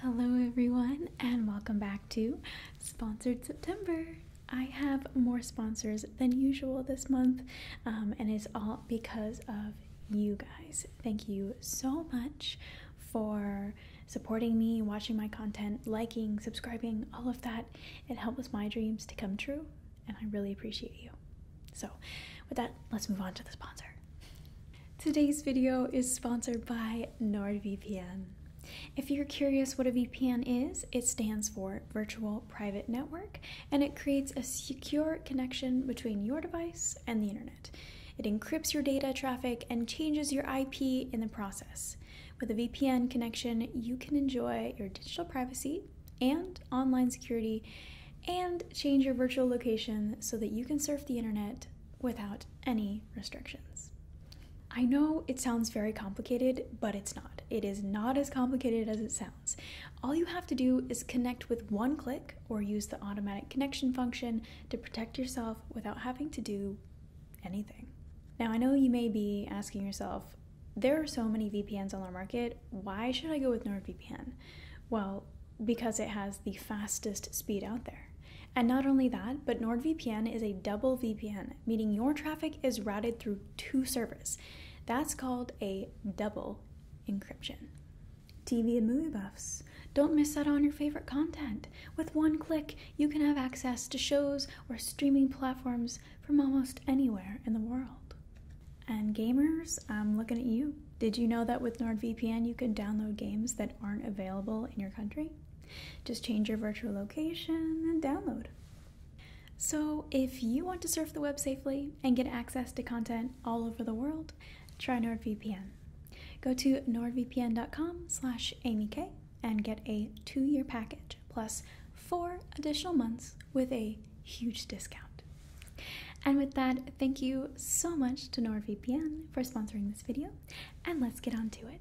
Hello, everyone, and welcome back to Sponsored September. I have more sponsors than usual this month, um, and it's all because of you guys. Thank you so much for supporting me, watching my content, liking, subscribing, all of that. It helps my dreams to come true, and I really appreciate you. So, with that, let's move on to the sponsor. Today's video is sponsored by NordVPN. If you're curious what a VPN is, it stands for Virtual Private Network, and it creates a secure connection between your device and the internet. It encrypts your data traffic and changes your IP in the process. With a VPN connection, you can enjoy your digital privacy and online security and change your virtual location so that you can surf the internet without any restrictions. I know it sounds very complicated, but it's not. It is not as complicated as it sounds. All you have to do is connect with one click or use the automatic connection function to protect yourself without having to do anything. Now, I know you may be asking yourself, there are so many VPNs on the market, why should I go with NordVPN? Well, because it has the fastest speed out there. And not only that, but NordVPN is a double VPN, meaning your traffic is routed through two servers. That's called a double encryption. TV and movie buffs. Don't miss out on your favorite content. With one click, you can have access to shows or streaming platforms from almost anywhere in the world. And gamers, I'm looking at you. Did you know that with NordVPN you can download games that aren't available in your country? Just change your virtual location and download. So, if you want to surf the web safely and get access to content all over the world, try NordVPN. Go to nordvpn.com/amyk and get a 2-year package plus 4 additional months with a huge discount. And with that, thank you so much to NordVPN for sponsoring this video and let's get on to it.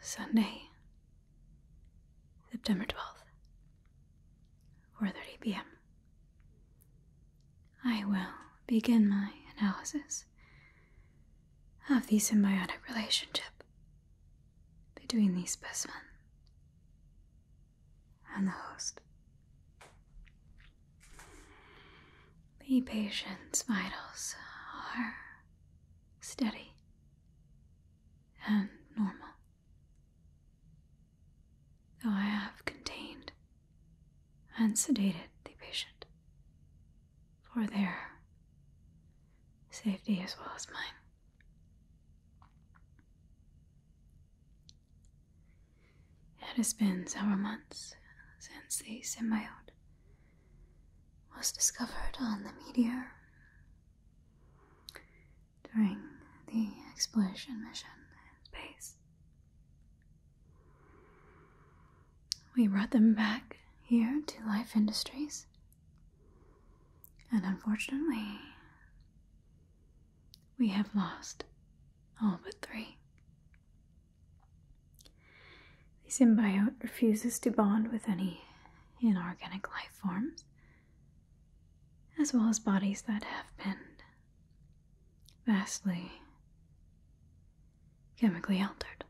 Sunday, September 12th, 4:30 p.m. I will begin my analysis of the symbiotic relationship between the specimen and the host. The patient's vitals are steady and normal, though I have contained and sedated the patient for their safety as well as mine. It has been several months since the symbiote was discovered on the meteor during the exploration mission in space. We brought them back here to Life Industries and unfortunately, we have lost all but three. The symbiote refuses to bond with any inorganic life forms, as well as bodies that have been vastly chemically altered.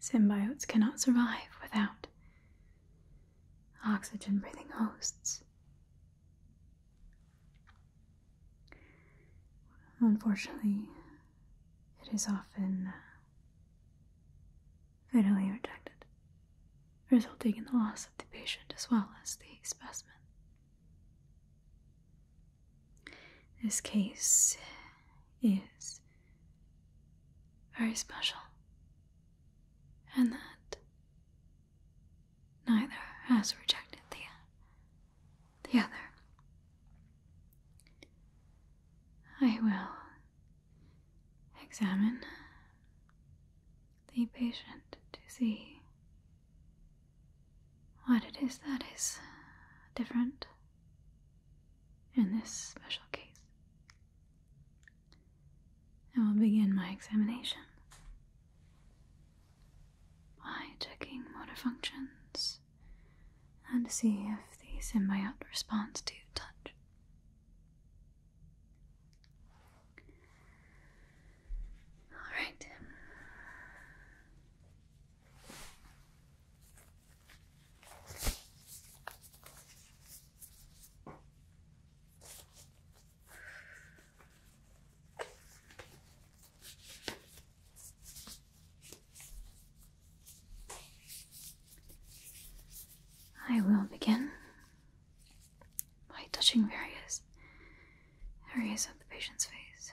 Symbiotes cannot survive without oxygen breathing hosts. Unfortunately, it is often uh, fatally rejected, resulting in the loss of the patient as well as the specimen. This case is very special, and that neither has rejected the, other. I will examine the patient to see what it is that is different in this special case. I will begin my examination by checking motor functions and see if the symbiote responds to touch. Alright. I will begin by touching various areas of the patient's face.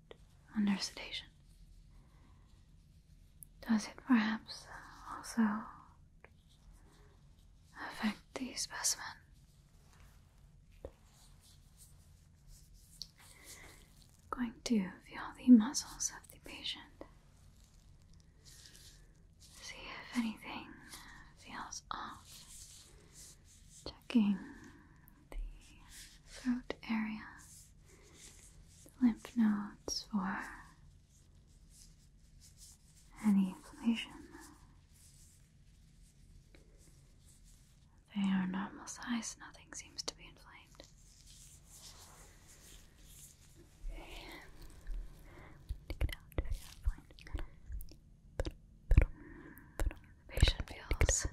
under sedation. Does it perhaps also affect the specimen? going to feel the muscles of the patient. See if anything feels off. Checking the throat area, the lymph nodes for any inflammation. They are normal size, nothing seems to be inflamed. inflamed. The patient feels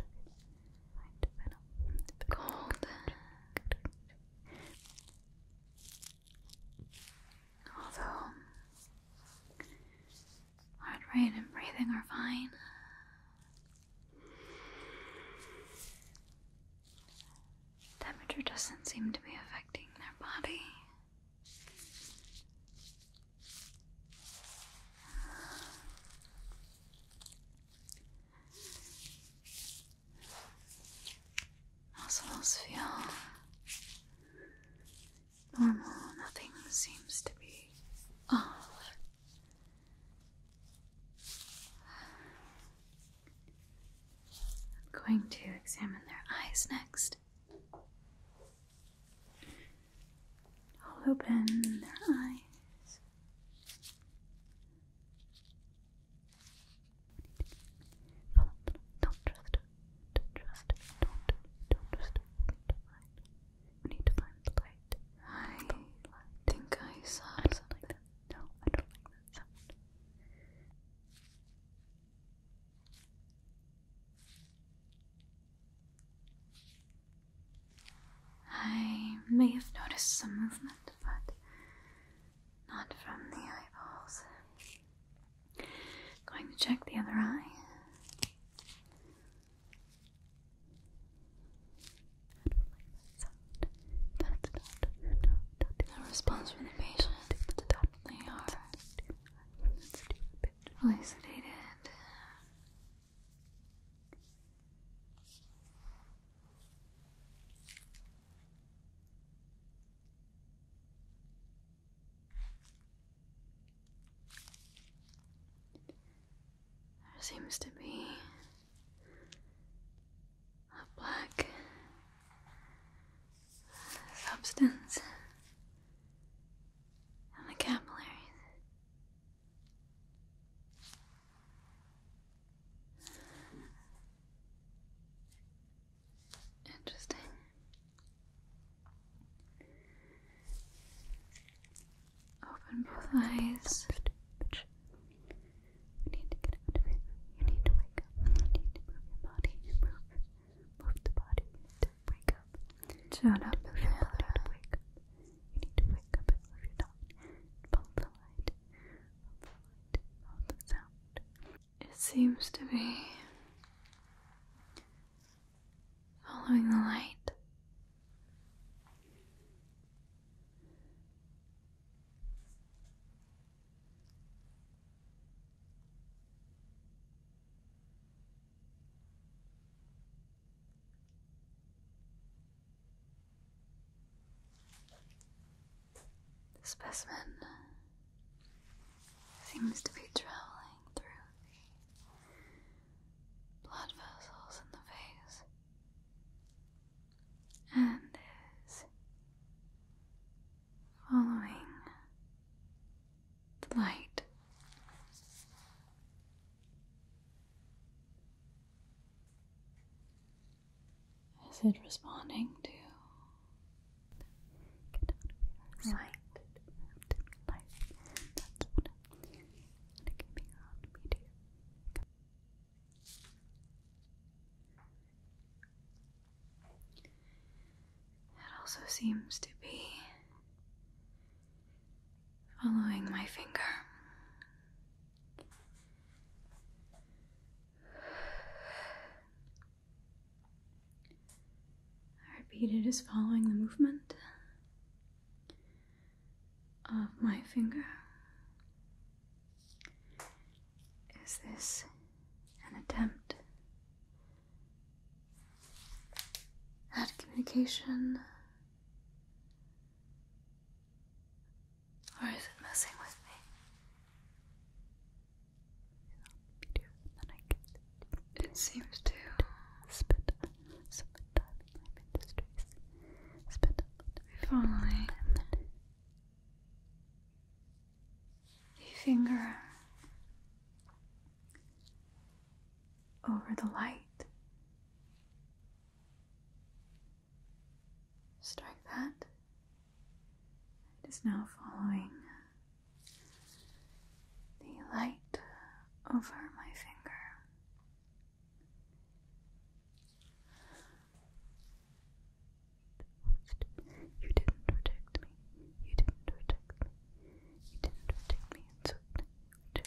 cold. Although heart rate and breathing are fine. Temperature doesn't seem to be affecting their body. Muscles feel normal, nothing seems to be off. I'm going to examine their eyes next. I'll open their eyes. Follow. Don't trust her. Don't trust her. Don't. Don't trust her. need to find the light. I think I saw something. No, I don't like that sound. I may have noticed some movement, but not from the eyeballs. Going to check the other eye. That's a response from the patient. They are fully there seems to be a black substance in the capillaries. Interesting. Open both eyes. You need to get out of it. You need to wake up. You need to move your body. Move, move the body. wake up. Shut up. You need to wake up and love your dog. Follow the light. Follow the sound. It seems to be following the light. The specimen seems to be traveling through the blood vessels in the face and is following the light. Is it responding to Get out of light? That's what i It also seems to be following my finger. I repeat it is following the movement of my finger. Is this an attempt at communication or is it messing with me? It seems to spend some time in my industries. Spend if only the finger over the light Strike that. It is now following the light over my finger. You didn't protect me. You didn't protect me. You didn't protect me. We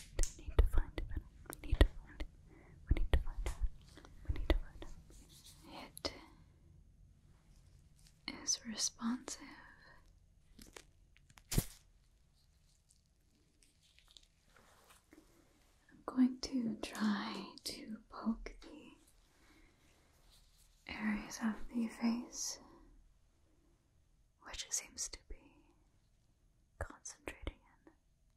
need to find it. We need to find it. We need to find it. We need to find it. It is responsive. I'm going to try to poke the areas of the face which it seems to be concentrating in.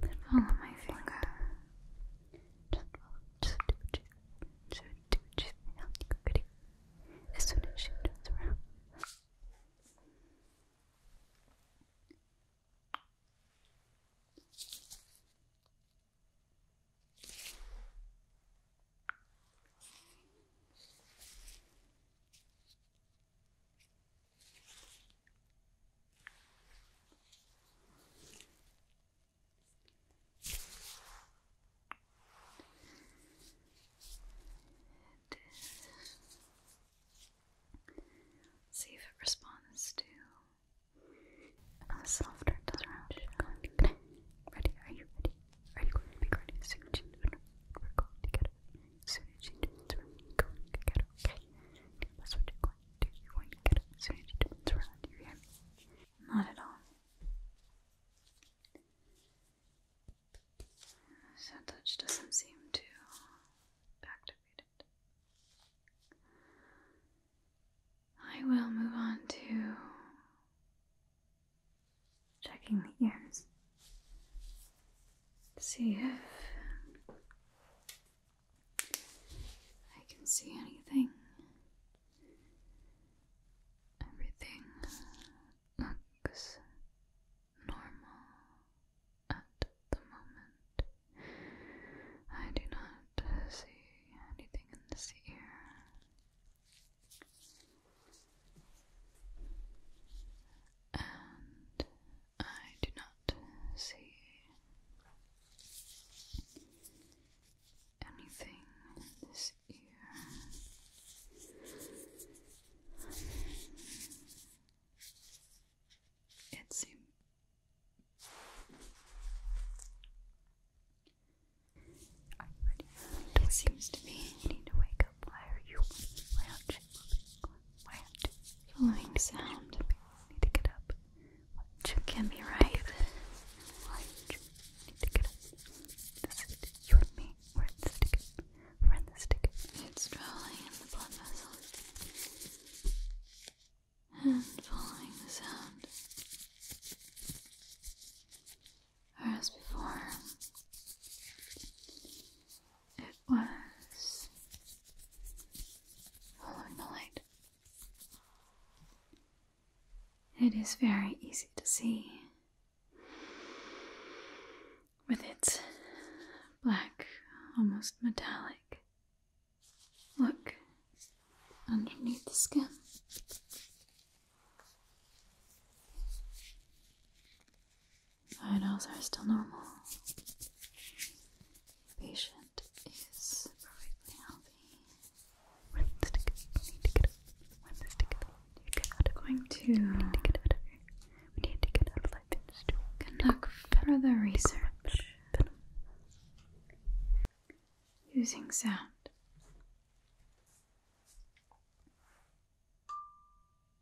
Then follow my finger. Just follow. Just do what you just do what you feel. You could do. As soon as she turns around. See if it responds to a softer touch. Ready? Are you ready? Are you going to be ready soon? We're going together soon as you do this, are going to get it, okay? That's what you're going to do. You're going to get it soon as you do this around, you hear Not at all. touch doesn't seem to activate it. I will move on to checking the ears see if I can see anything. Everything looks normal at the moment. I do not see anything in this ear and I do not see anything in this ear. It seems it seems to me you need to wake up. Why are you what? Following sound. Need to get up. What? can be right. What? Need to get up. This is you and me. We're in this ticket. We're in this ticket. It's drawing in the blood vessels. And following the sound. as before it was following the light. It is very easy to see with its black, almost metallic look underneath the skin. Finals are still normal. patient is perfectly healthy. we need to get up. When we need to get out. Going to. We need to get out of We need to get out of life. To conduct further research using sound.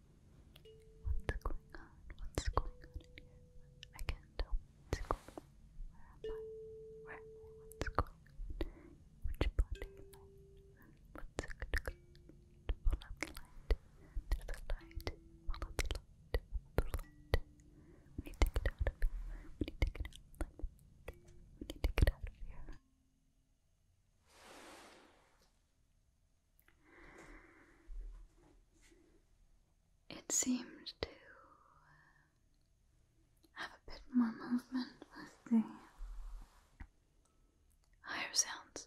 What's going on? What's going on in here? I can't tell Where am I? Where am I? What's going on? Which body What's a good Follow the light. There's a light. Follow the light. Follow the light. When you take it out of here, when you take it out like when you take out of here. It seems to have a bit more movement with the higher sounds.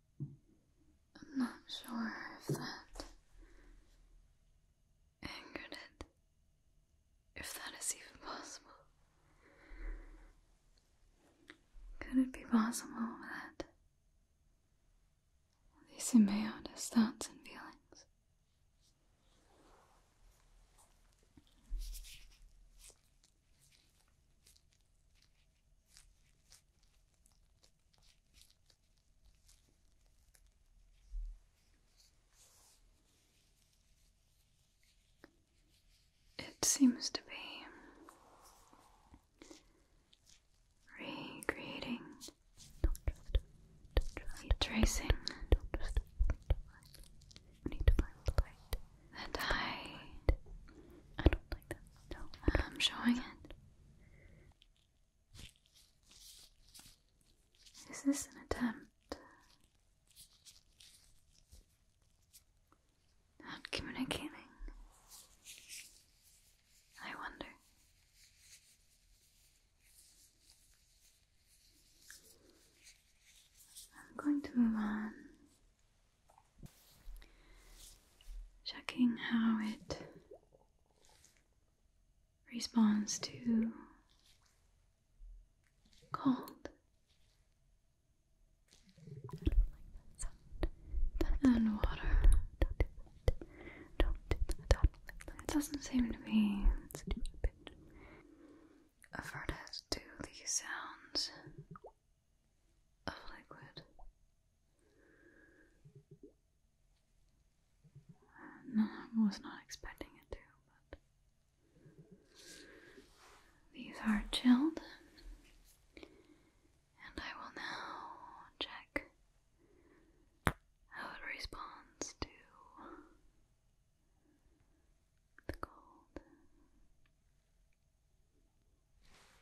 I'm not sure if that angered it, if that is even possible. Could it be possible that these emailed his thoughts and feelings? It seems to be recreating, retracing. I I, I don't like that. No, I'm um, showing it. Is this an attempt at communicating? I wonder. I'm going to move on, checking how it responds to cold. And water. It doesn't seem to be averted to the sounds of liquid. No, I was not expecting it to, but these are chilled, and I will now check how it responds to the cold.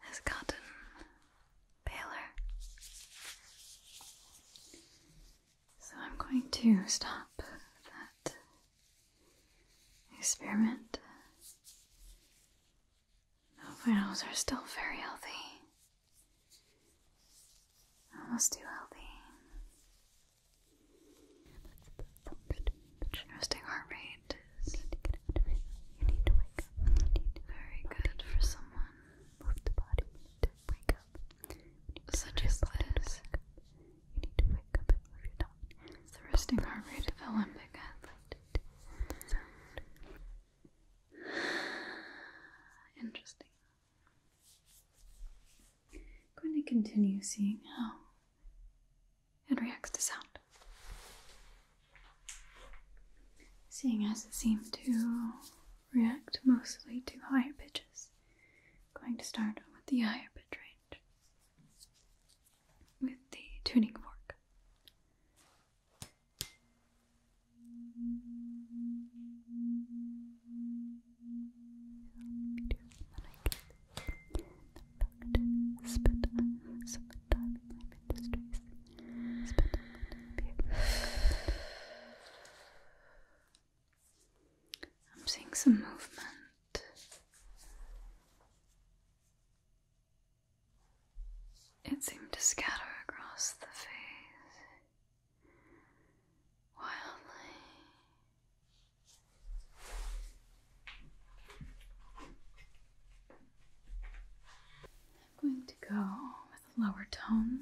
has gotten paler. So I'm going to stop that experiment. My finals are still very healthy. Almost too healthy. Interesting heart rate. Very good for someone. Move the body. to wake up. Such as this. You need to wake up and move your tongue. the resting heart rate of an Olympic athlete. Interesting. going to continue seeing how and reacts to sound. Seeing as it seemed to react mostly to higher pitches, going to start with the higher pitch range with the tuning fork. I'm seeing some movement. It seemed to scatter across the face wildly. I'm going to go with a lower tone.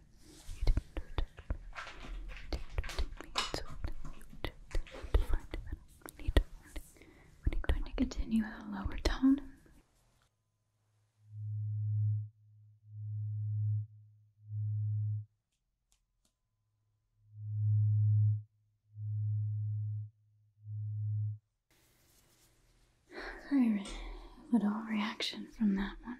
You didn't protect me. We need to continue at a lower tone. Very little reaction from that one.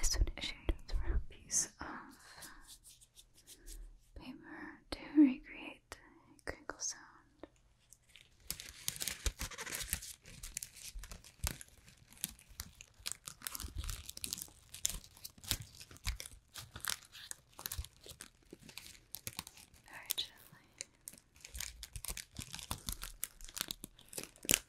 is to initiate through a piece of paper to recreate the crinkle sound. Very gently.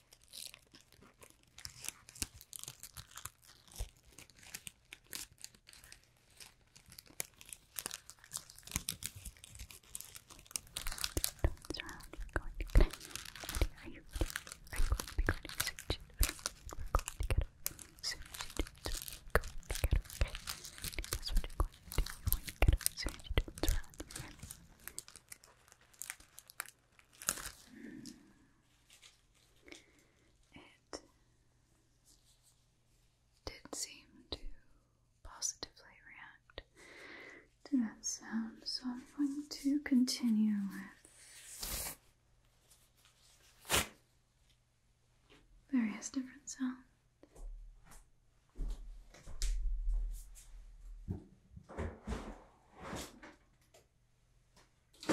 Turns around, we're going to get Are you ready? Are you going to be going to see you? We're going to get it. Soon as you do it, we're going to get it, okay? That's what you're going to do. You're going to get it. Soon as you do it, it's around your hand. It did seem to positively react to that sound, so I'm going to continue with various different sounds. I'm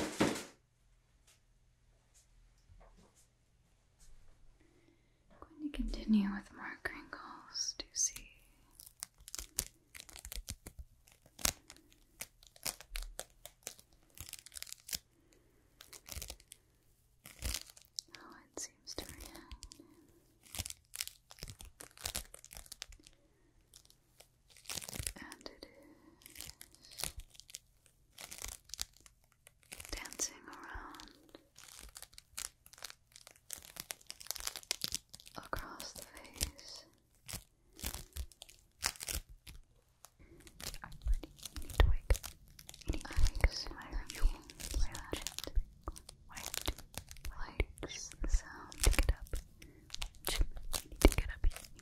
going to continue with more crinkles to see. Oh, it seems to react. And it is dancing around across the face. i need to wake up. need to wake up. I really legit liked, the sound. Get up. You need to get up. You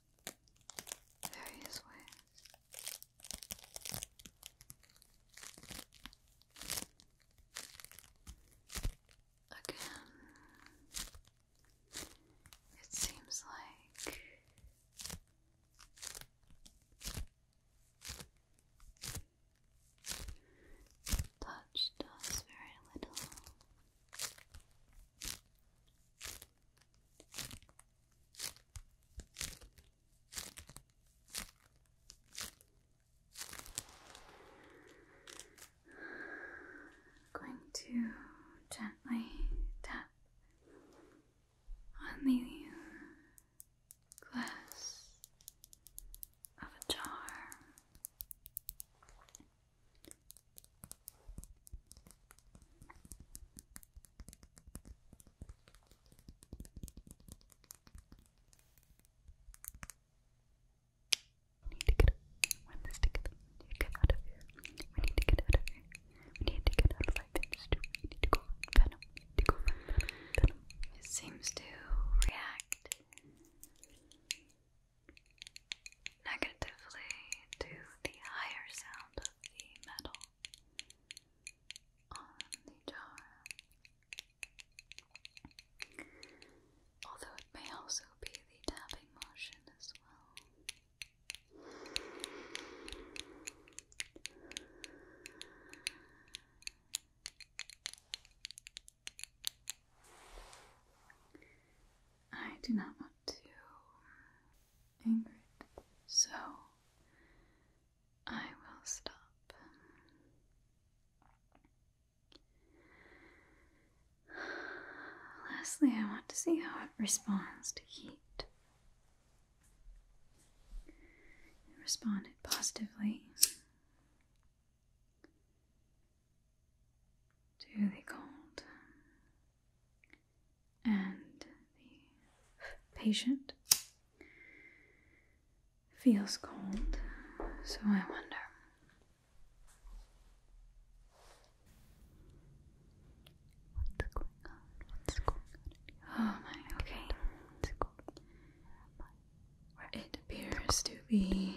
various ways. Again, it seems like touch does very little going to gently tap on the glass of a jar. We need to get when this together. We need to get out of here. We need to get out of here. We need to get out of life We need to go find Venom. We It seems to react negatively to the higher sound of the metal on the jar. Although it may also be the tapping motion as well. I do not want to Ingrid, so I will stop. Lastly, I want to see how it responds to heat. It responded positively to the cold and the patient feels cold, so I wonder. What's going on? What's going on? Oh my, okay. It appears to be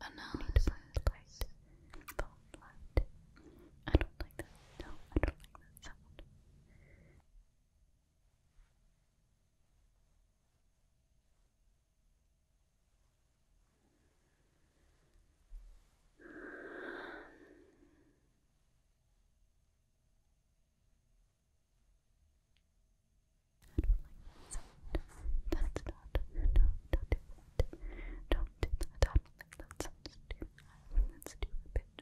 analysis. I don't like that. No, I don't like that sound. That's not, don't do that. Don't do that. that sounds too loud. let that sounds too much.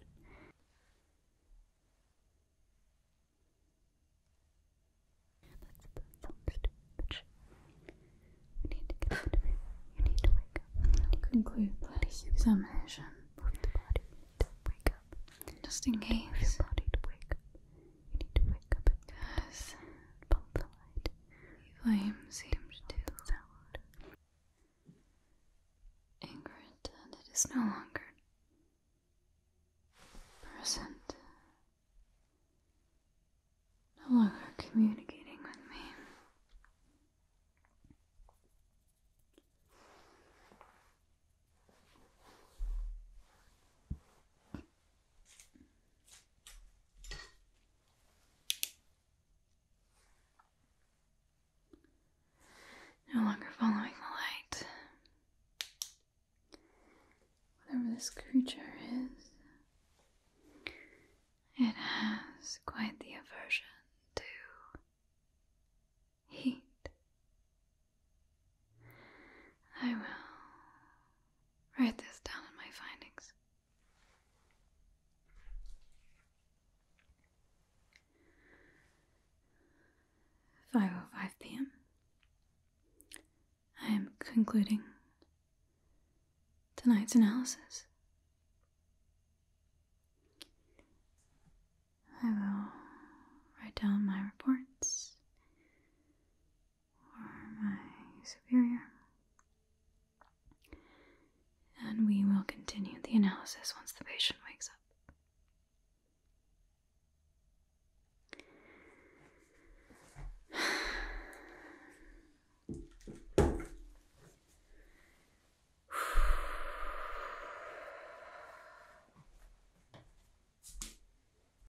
need to get out You need to wake up. Conclude this examination. Move the body wake up. Just in case. body to wake you need to wake up at this and the light. flame seems to sound. Ingrid, and it is no longer present. No longer communicating with me. No longer following the light. Whatever this creature is, it has quite the aversion to heat. I will write this down in my findings. Five oh five PM. I am concluding tonight's analysis. I will write down my reports or my superior. And we will continue the analysis once the patient wakes up.